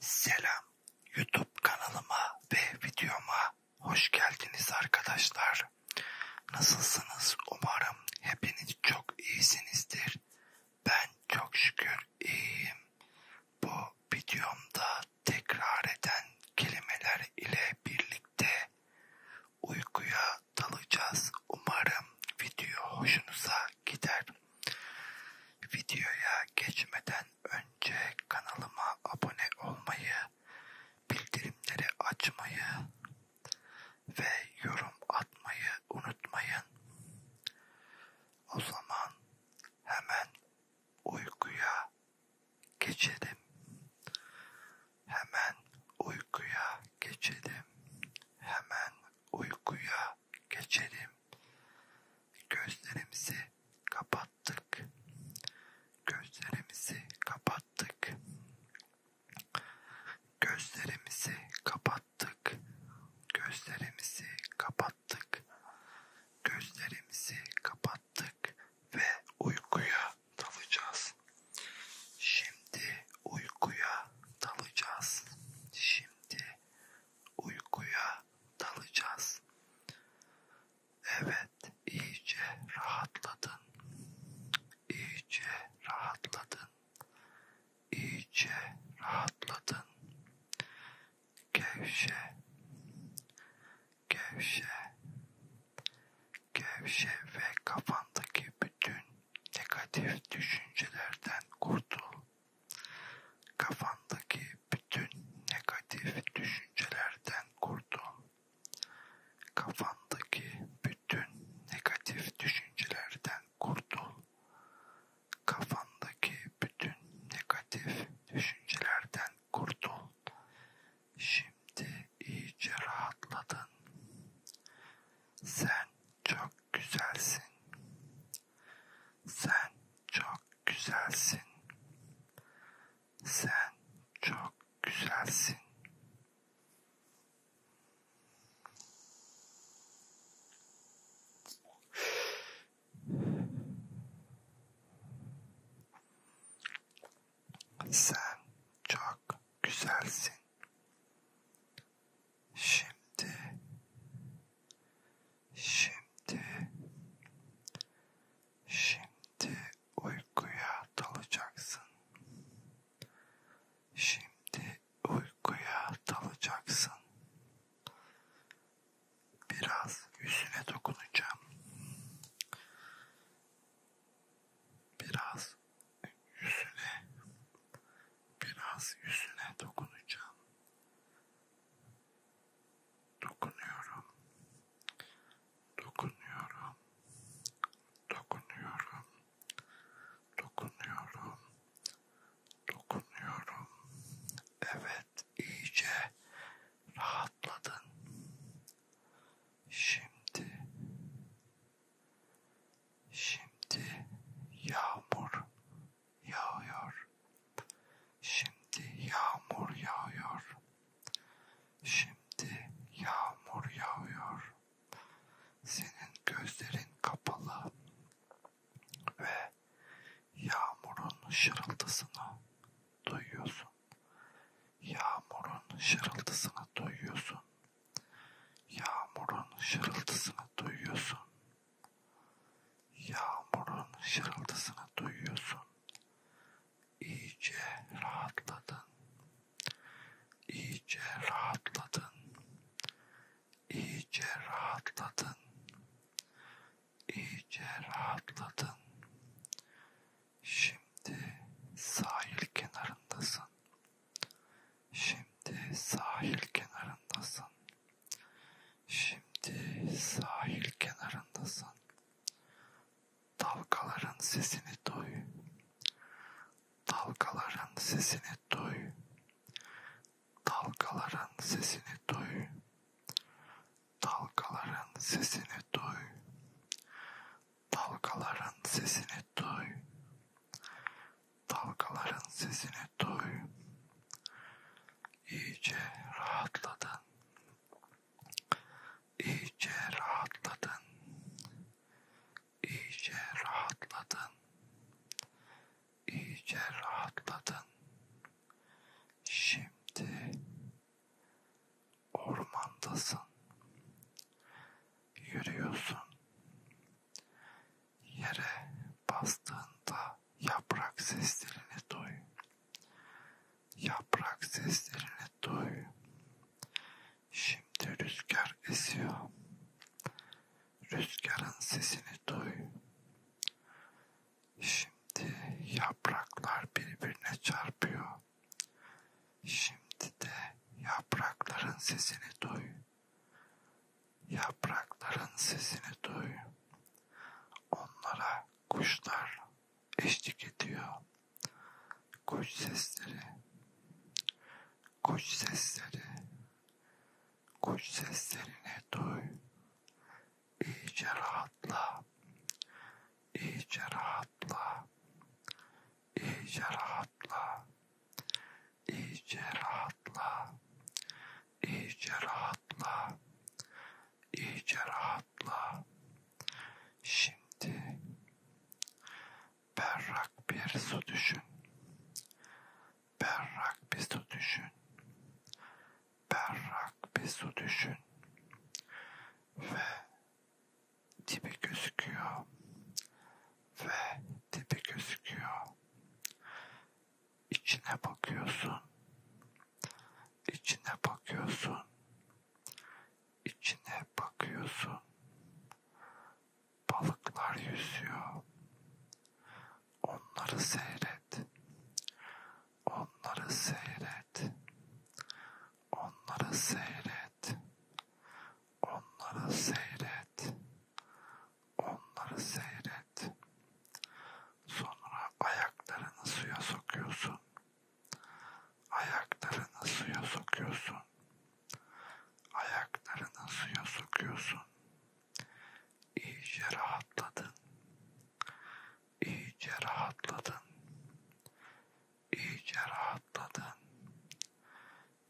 Selam YouTube kanalıma ve videoma hoş geldiniz arkadaşlar. Nasılsınız? Umarım hepiniz çok iyisinizdir. Ben çok şükür iyiyim. Bu videomda tekrar eden kelimeler ile birlikte uykuya dalacağız. Umarım video hoşunuza gider. Videoya geçmeden önce kanalıma abone olmayı, bildirimleri açmayı ve yorum atmayı unutmayın. O zaman hemen uykuya geçelim. Hemen uykuya geçelim. Hemen uykuya geçelim. Gözlerimizi kapattık. Gözlerimizi kapattık. Gözlerimizi kapattık. Gözlerimizi kapattık. Gözlerimizi kapattık ve uykuya dalacağız. Şimdi uykuya dalacağız. Şimdi uykuya dalacağız. Evet, iyice rahatladın. İyice rahatladın. İyice rahatladın. Gevşe. Gevşe. Gevşe ve kafandaki bütün negatif düşüncelerden kurtul. Kafandaki bütün negatif düşüncelerden kurtul. Kafandaki bütün negatif düşüncelerden kurtul. Kafandaki bütün negatif düşüncelerden kurtul. Şimdi iyice rahatladın. Sen çok güzelsin. Sen çok güzelsin. Sen çok güzelsin. Sen çok güzelsin. Şimdi Şimdi, şimdi uykuya dalacaksın. Şimdi uykuya dalacaksın. Biraz yüzüne dokunacağım. Biraz yüzüne, biraz yüzüne dokunacağım. Dokunuyorum. Dokunuyorum. Dokunuyorum. Dokunuyorum. Dokunuyorum. Evet, iyice rahatladın. Şimdi şimdi yağmur yağıyor. Şimdi yağmur yağıyor. Şimdi yağmur yağıyor. Senin gözlerin kapalı ve yağmurun şırıltısını duyuyorsun. Yağmurun şırıltısını duyuyorsun. Yağmurun şırıltısını duyuyorsun. Yağmurun şırıltısını duyuyorsun. İyice rahatladın. İyice rahatladın. İyice rahatladın. İyice rahatladın. Şimdi sahil kenarındasın. Şimdi sahil kenarındasın. Şimdi sahil kenarındasın. Dalgaların sesini duy. Dalgaların sesini duy. Dalgaların sesini duy. Dalgaların sesini duy. Dalgaların sesini duy. Dalgaların sesini duy. İyice rahatladın. İyice rahatladın. İyice rahatladın. İyice rahatladın. Şimdi ormandasın. Yürüyorsun. Yere bastığında yaprak seslerini duy. Yaprak seslerini duy. Şimdi rüzgar esiyor. Rüzgarın sesini duy. Şimdi yapraklar birbirine çarpıyor. Şimdi de yaprakların sesini duy. Yaprakların sesini duy. Onlara kuşlar eşlik ediyor. Kuş sesleri. Kuş sesleri. Kuş seslerini duy. İyice rahatla. İyice rahatla. İyice rahatla iyice rahatla, iyice rahatla, iyice rahatla. Şimdi berrak bir su düşün, berrak bir su düşün, berrak bir su düşün ve dibi gözüküyor ve dibi gözüküyor İçine bakıyorsun. İçine bakıyorsun. İçine bakıyorsun. Balıklar yüzüyor. Onları seyret. Onları seyret. Onları seyret. Onları seyret. Onları seyret. Sonra ayaklarını suya sokuyorsun. Ayaklarını suya sokuyorsun. Ayaklarını suya sokuyorsun. İyice rahatladın. İyice rahatladın. İyice rahatladın.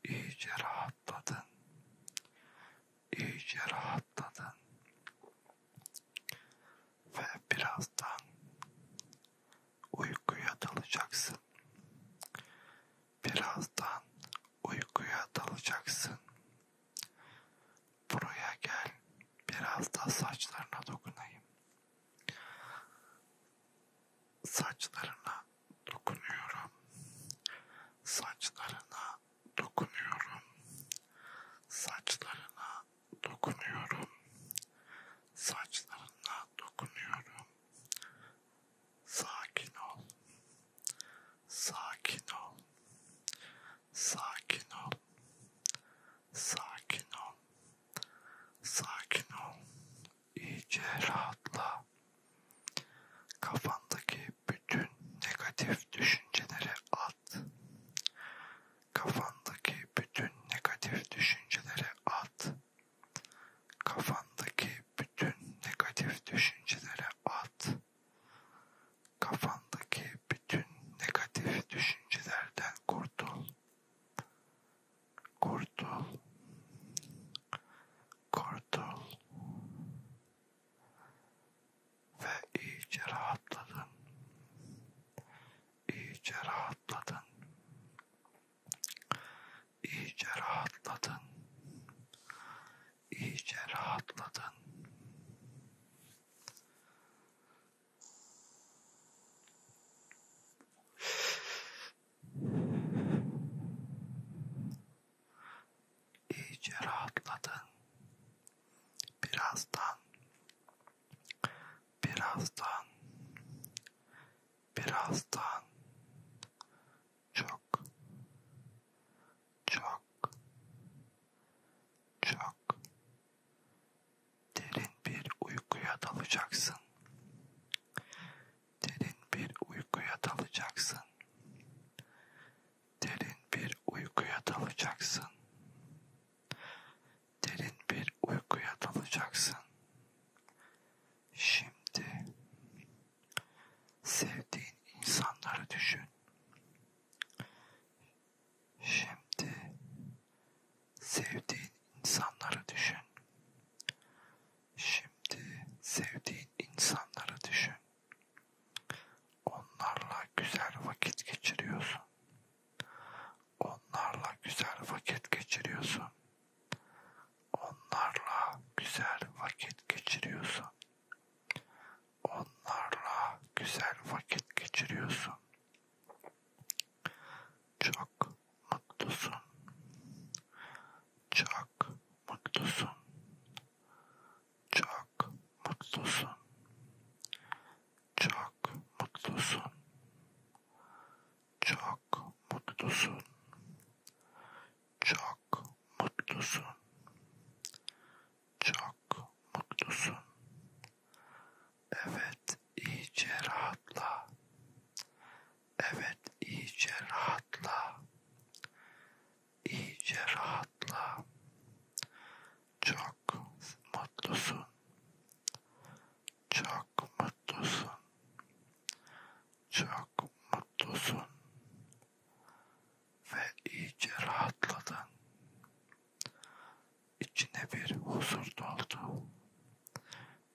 İyice rahatladın iyice rahatladın ve birazdan uykuya dalacaksın. Birazdan uykuya dalacaksın. Buraya gel, biraz da saçlarına dokunayım. Saçlarına dokunuyorum. Saçlarına dokunuyorum. Saçlarına dokunuyorum. Saçlarına dokunuyorum. Sakin ol. Sakin ol. Sakin ol. Sakin ol. Sakin ol. İyice rahatla. Kafandaki bütün negatif düşüncelere at. Kafandaki bütün negatif düşüncelere at. Kafandaki bütün negatif düşüncelere at. Kafandaki bütün negatif düşüncelerden kurtul. Kurtul. Kurtul. Ve iyice rahatladın. İyice rahatladın. İyice rahatladın. İyice rahatladın. İyice rahatladın. Birazdan, birazdan, birazdan çok, çok, çok derin bir uykuya dalacaksın. Derin bir uykuya dalacaksın. Derin bir uykuya dalacaksın. Derin bir uykuya dalacaksın. Şimdi sevdiğin insanları düşün. Şimdi sevdiğin insanları düşün. Şimdi sevdiğin insanları düşün. Onlarla güzel vakit geçiriyorsun. Onlarla güzel vakit geçiriyorsun. Onlarla güzel vakit geçiriyorsun. Onlarla güzel vakit geçiriyorsun. Çok mutlusun. Çok mutlusun. Çok mutlusun. Çok mutlusun. Çok mutlusun. Çok mutlusun. Çok mutlusun. Evet, iyice rahatla. Evet, iyice rahatla iyice rahatla. Çok mutlusun. Çok mutlusun. Çok mutlusun. Ve iyice rahatladın. İçine bir huzur doldu.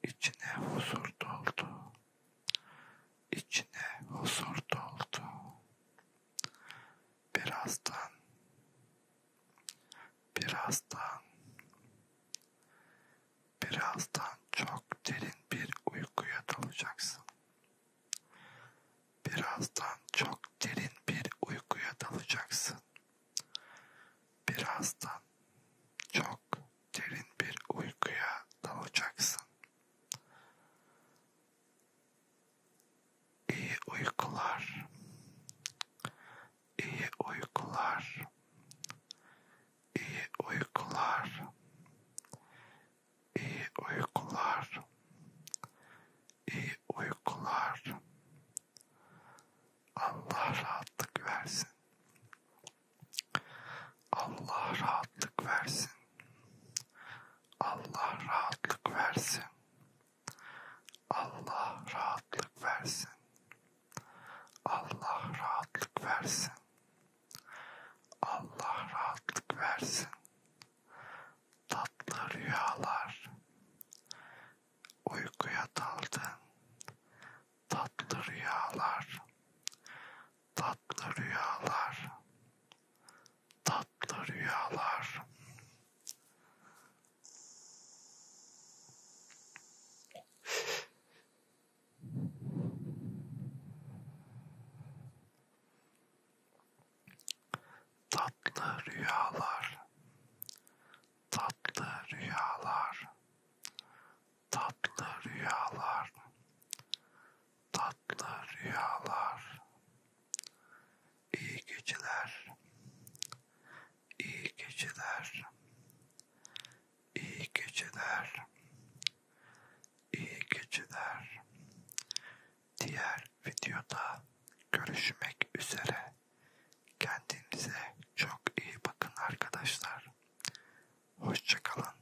İçine huzur doldu. İçine huzur doldu. Birazdan, birazdan, birazdan çok derin bir uykuya dalacaksın. Birazdan çok derin bir uykuya dalacaksın. Birazdan çok derin bir uykuya dalacaksın. İyi uykular. İyi uykular. İyi uykular. İyi uykular. İyi uykular. Allah rahatlık versin. Allah rahatlık versin. Allah rahatlık versin. Allah rahatlık versin. Allah rahatlık versin. Allah rahatlık versin. Tatlı rüyalar. Uykuya daldın. Tatlı rüyalar. Tatlı rüyalar tatlı rüyalar. Tatlı rüyalar. Tatlı rüyalar. Tatlı rüyalar tatlı rüyalar, iyi geceler, iyi geceler, iyi geceler, iyi geceler. Diğer videoda görüşmek üzere. Kendinize çok iyi bakın arkadaşlar. Hoşçakalın.